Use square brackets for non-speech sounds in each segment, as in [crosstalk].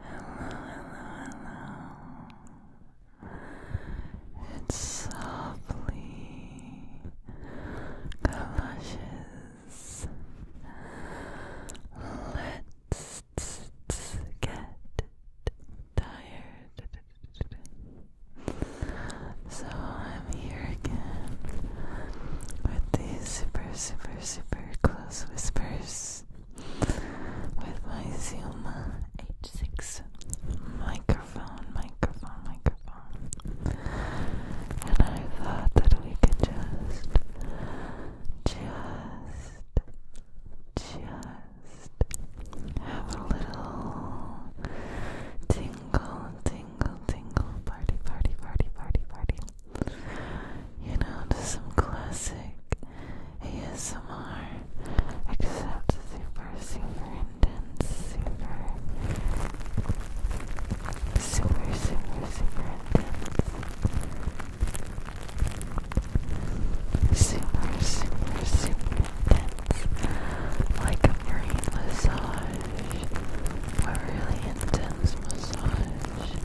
hello. It softly galoshes. Let's get tired. So I'm here again with these super, super, super close whispers with my Zoom H6 microphone, microphone, microphone. And I thought that we could just, just, just have a little tingle, tingle, tingle, party, party, party, party, party you know, to some classic ASMR, except super, super intense, super, super, super, super intense, super, super, super intense, like a brain massage, a really intense massage.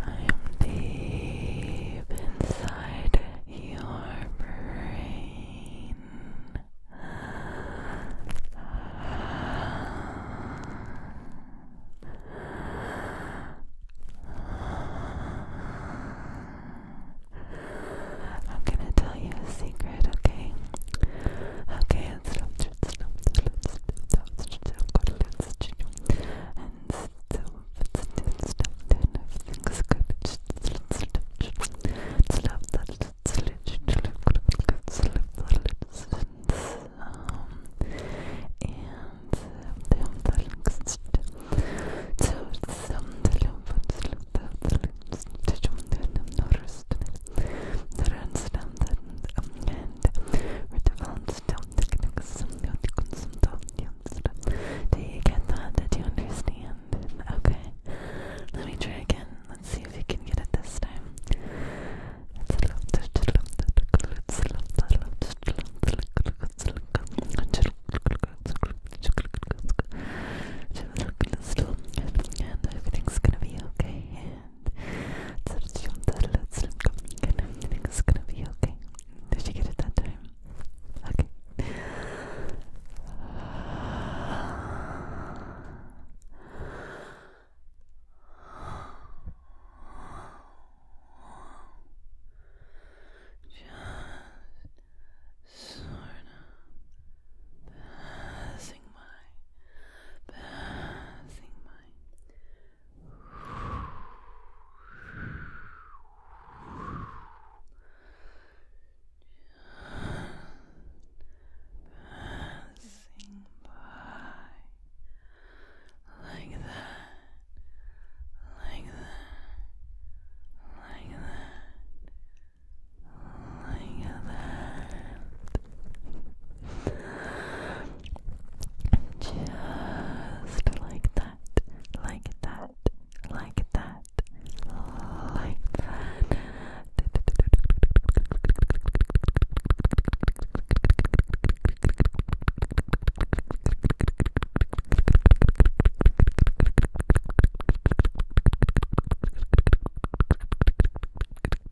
I am deep inside your brain. I'm gonna tell you a secret, okay? Okay, sense. So it's good stuff, then everything's good. It's stuff that it's literally good stuff that it's sense. Um, and the umbrellas. So some the lumps, the lumps, the jump, the norest, the randstand, and with the ones down do you get that? Did you understand? Okay. Let me try again. Let's see if we can get it this time. And everything's gonna be okay. Everything's gonna be okay. Did you get it that time? Okay. Just sort of passing by, passing by. Passing by like that, like that, like that, like that. Just like that, like that, like that, like that. Just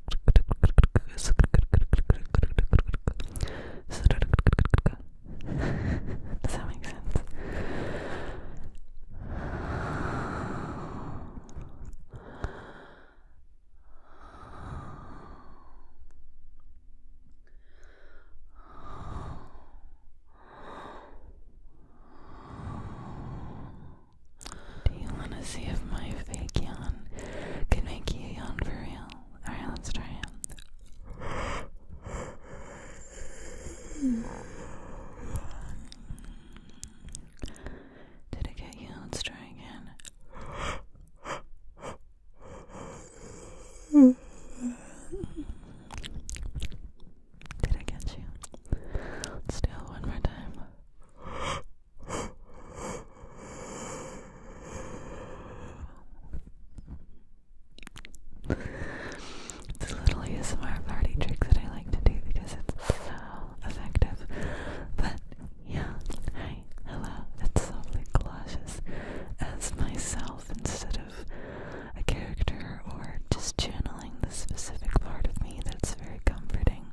Does that make sense? Do you want to see if my fake can make you yawn for Alright, let's try Did it get you? Let's try again. Did I get you? Still, one more time. It's a little ASMR party trick that I like to do because it's so effective. But yeah, hello. It's softly as myself instead of a character or just channeling the specific part of me that's very comforting.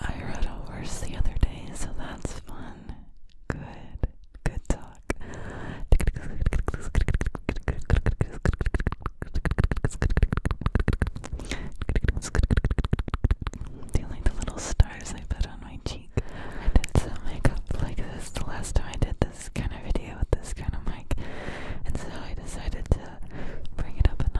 I rode a horse the other day, so that's fun. Good. Good talk. Do the little stars I put on my cheek? I did some makeup like this the last time I did this kind of video with this kind of mic, and so I decided to bring it up a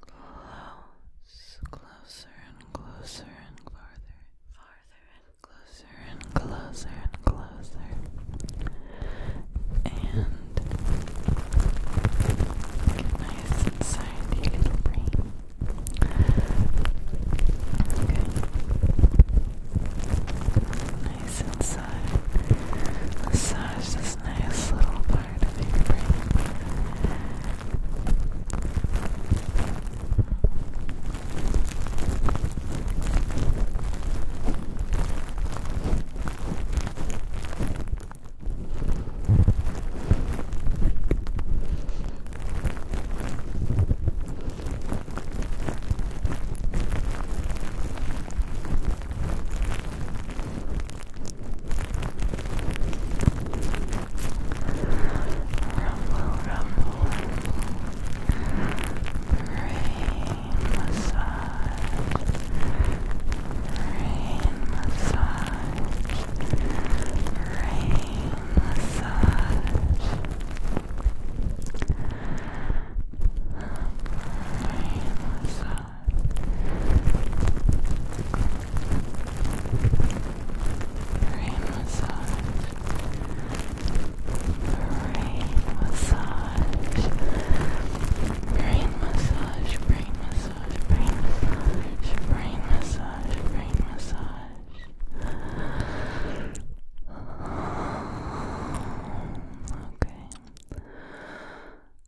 close, closer and closer and farther farther and closer and closer and closer. And nice inside your little brain. Okay. Nice inside. Massage the this nice little part of your brain. Rumble, rumble, rain massage, rain massage, rain massage. Rain massage. Brain massage. Brain massage. Brain massage. Brain massage. Brain massage. Brain massage. Brain massage. Okay.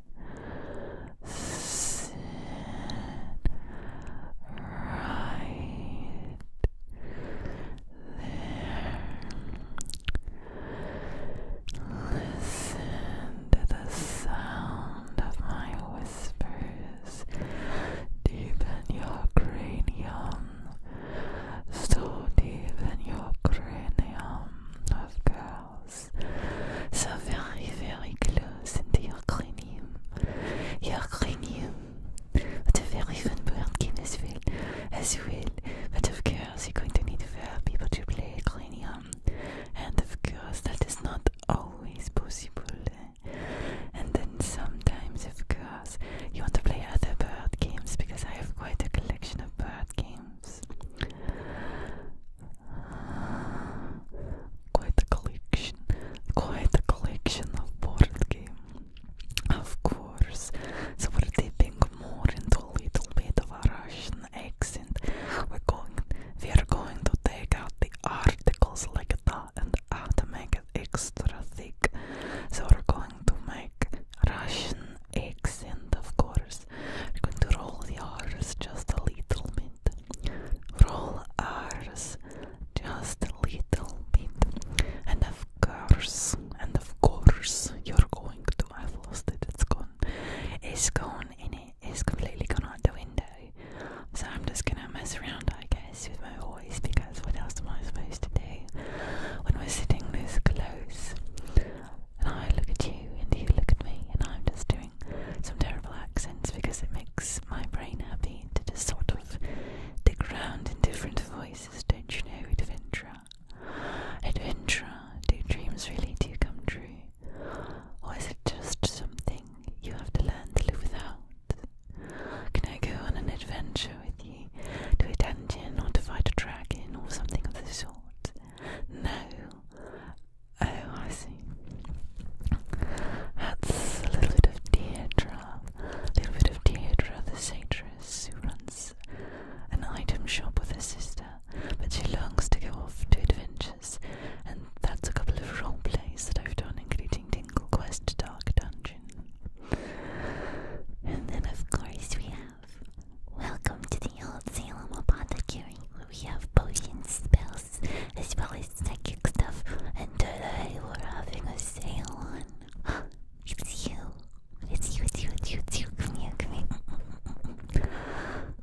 sit right there. Listen to the sound of my whispers deep in your cranium, so deep in your cranium of girls so very, very close into your cranium. Your cranium. But a very fun board game as As well. But of course, you're going to need four people to play cranium. And of course, that is not always possible. And then sometimes, of course, you want to play other board games because I have quite a collection of board games. Quite a collection, quite a collection of board games. Of course, so we're dipping more into a little bit of a Russian accent. We're going, we're going to take out the articles like that and uh, to make it extra thick. So we're going to make Russian accent, of course. I'm going to roll the R's just a little bit. Roll R's just a little bit. And of course, and of course, you're going to. I've lost it, it's gone. It's gone in it's completely gone out the window. So I'm just gonna mess around, I guess, with my voice because what else am I supposed to do when we're sitting this close? and I look at you and you look at me, and I'm just doing some terrible accents because it makes my brain happy to just sort of dig around in different voices, don't you know, adventurer? Adventurer, do dreams really do come true? Or is it just something you have to learn to live without? Can I go on an adventure with you to a dungeon or to fight a dragon or something of the sort? No, Oh, I see. That's a little bit of Deirdre. A little bit of Deirdre, the satirist who runs an item shop with her sister, but she longs to go off to adventures, and that's a couple of role plays that I've done, including Dingle Quest Dark Dungeon. And then, of course, we have. Welcome to the old Salem Apothecary, where we have potions, spells, as well as psychic stuff, and today we're having a sale on. [gasps] it's you. It's you, it's you, it's you, it's you. Come here, come here.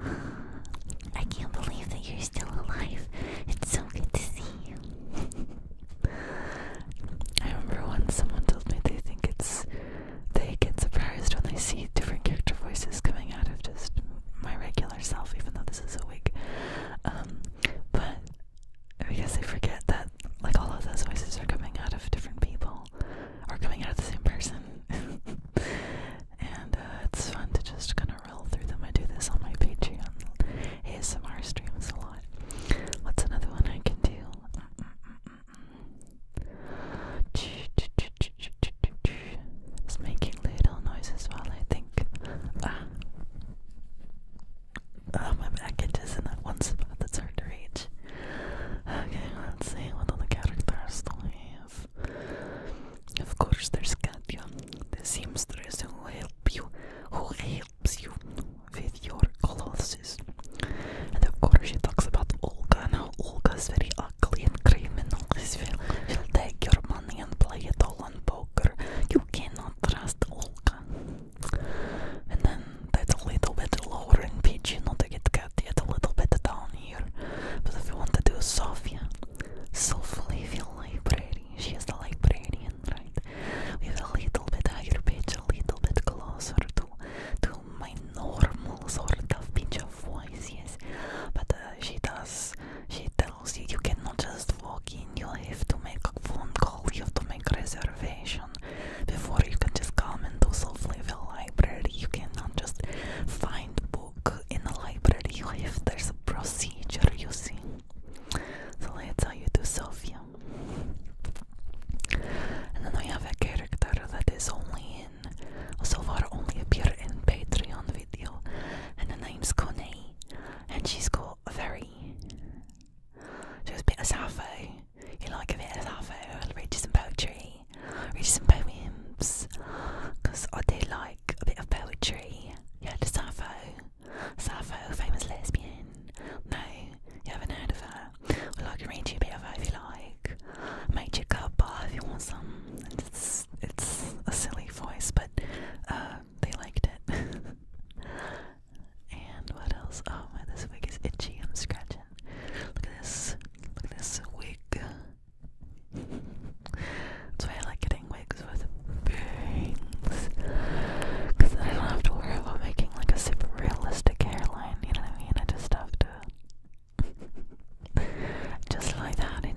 [sighs] I can't believe that you're still alive. It's so good to see you. [laughs] I remember once someone told me they think it's they get surprised when they see different character voices coming out of just my regular self, even though this is a wig. Um, but because they forget that, like, all of those voices are coming out of different people or coming out of the same person. [laughs] and uh, it's fun to just kind of roll through them. I do this on my Patreon ASMR streams a lot. What's another one I can do? Mm, mm, mm, it's making little noises while I think. Ah. Oh, my package is in that one spot that's hard to reach. Okay, let's see what other characters do we have. Of course, there's Katya, the seamstress who will you, who helps you with your clothes. And of course, she talks about Olga and how Olga is very ugly and criminal. She'll take your money and play it all on poker. You cannot trust Olga. And then that's a little bit lower in pitch, you know, to get cut yet a little bit down here. But if you want to do Sofia, Sofia Library, she is the librarian, right? We have a little bit higher pitch, a little bit closer to to my normal sort of pitch of voice, yes. But uh, she does, she tells you you cannot just walk in, you have to make a phone call, you have to make a reservation before you can just come into self level library. You cannot just find a book in a library, you have there's a procedure, you see. So let's how you do Sophia. And then we have a character that is only so far only appear in Patreon video and her name's Connie and she's got a very she's a bit of Sappho. You like a bit of Sappho, reaches some poetry, reaches some poems. Cause I do like a bit of poetry. You heard of Sappho? Sappho, famous lesbian. No, you haven't heard of her. Well I can read you a bit of her if you like like Mighty if you want some. It's it's a silly voice, but uh, they liked it. [laughs] and what else? Oh my this wig is itchy, I'm scratching. Look at this. Look at this wig. That's why I like getting wigs with bangs. Cause I don't have to worry about making like a super realistic hairline, you know what I mean? I just have to just like that, in it.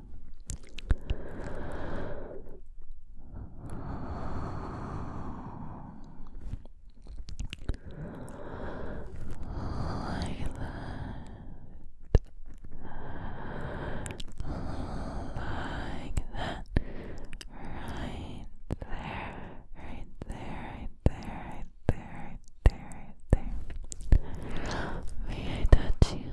Like that, like that, right there, right there, right there, right there, right there, right there. May I touch you?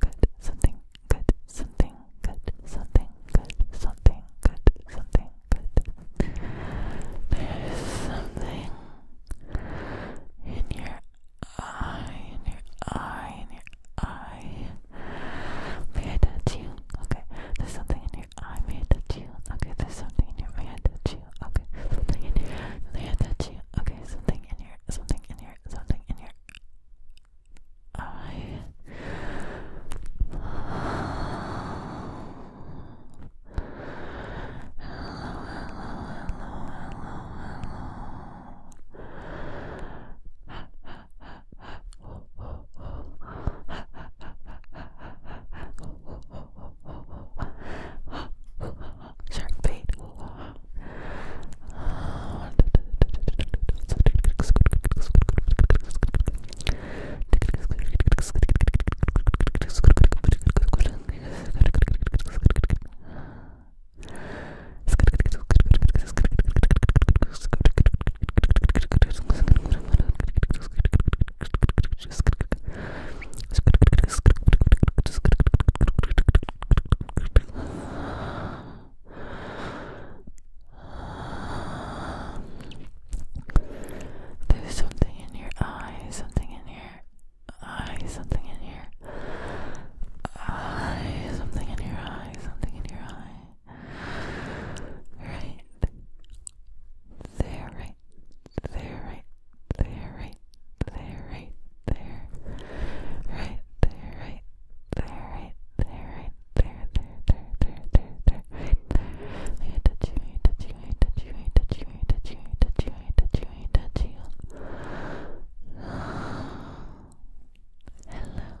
good, something good, something good, something good, something good, something good. There's something in your eye, in your eye, in your eye. May I touch you? Okay, there's something in your eye. May I touch you? Okay, there's something in your. May I touch you? Okay, something in your. May I touch you? Okay, something in your something in here, something in here. Alright. Hello, hello, hello, hello, hello shark bait. There's something in your eye, something in your eye, something in your eye, something in your eye, something in your eye. Right there, right there, right there, right there, right there, right there, right there, right there, right there, there, there, there, there, there, right there. May I touch you? May I touch you? May I touch you? May I touch you? May I touch you? May I touch you? May I touch you? May I touch you? Hello.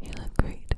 You look great.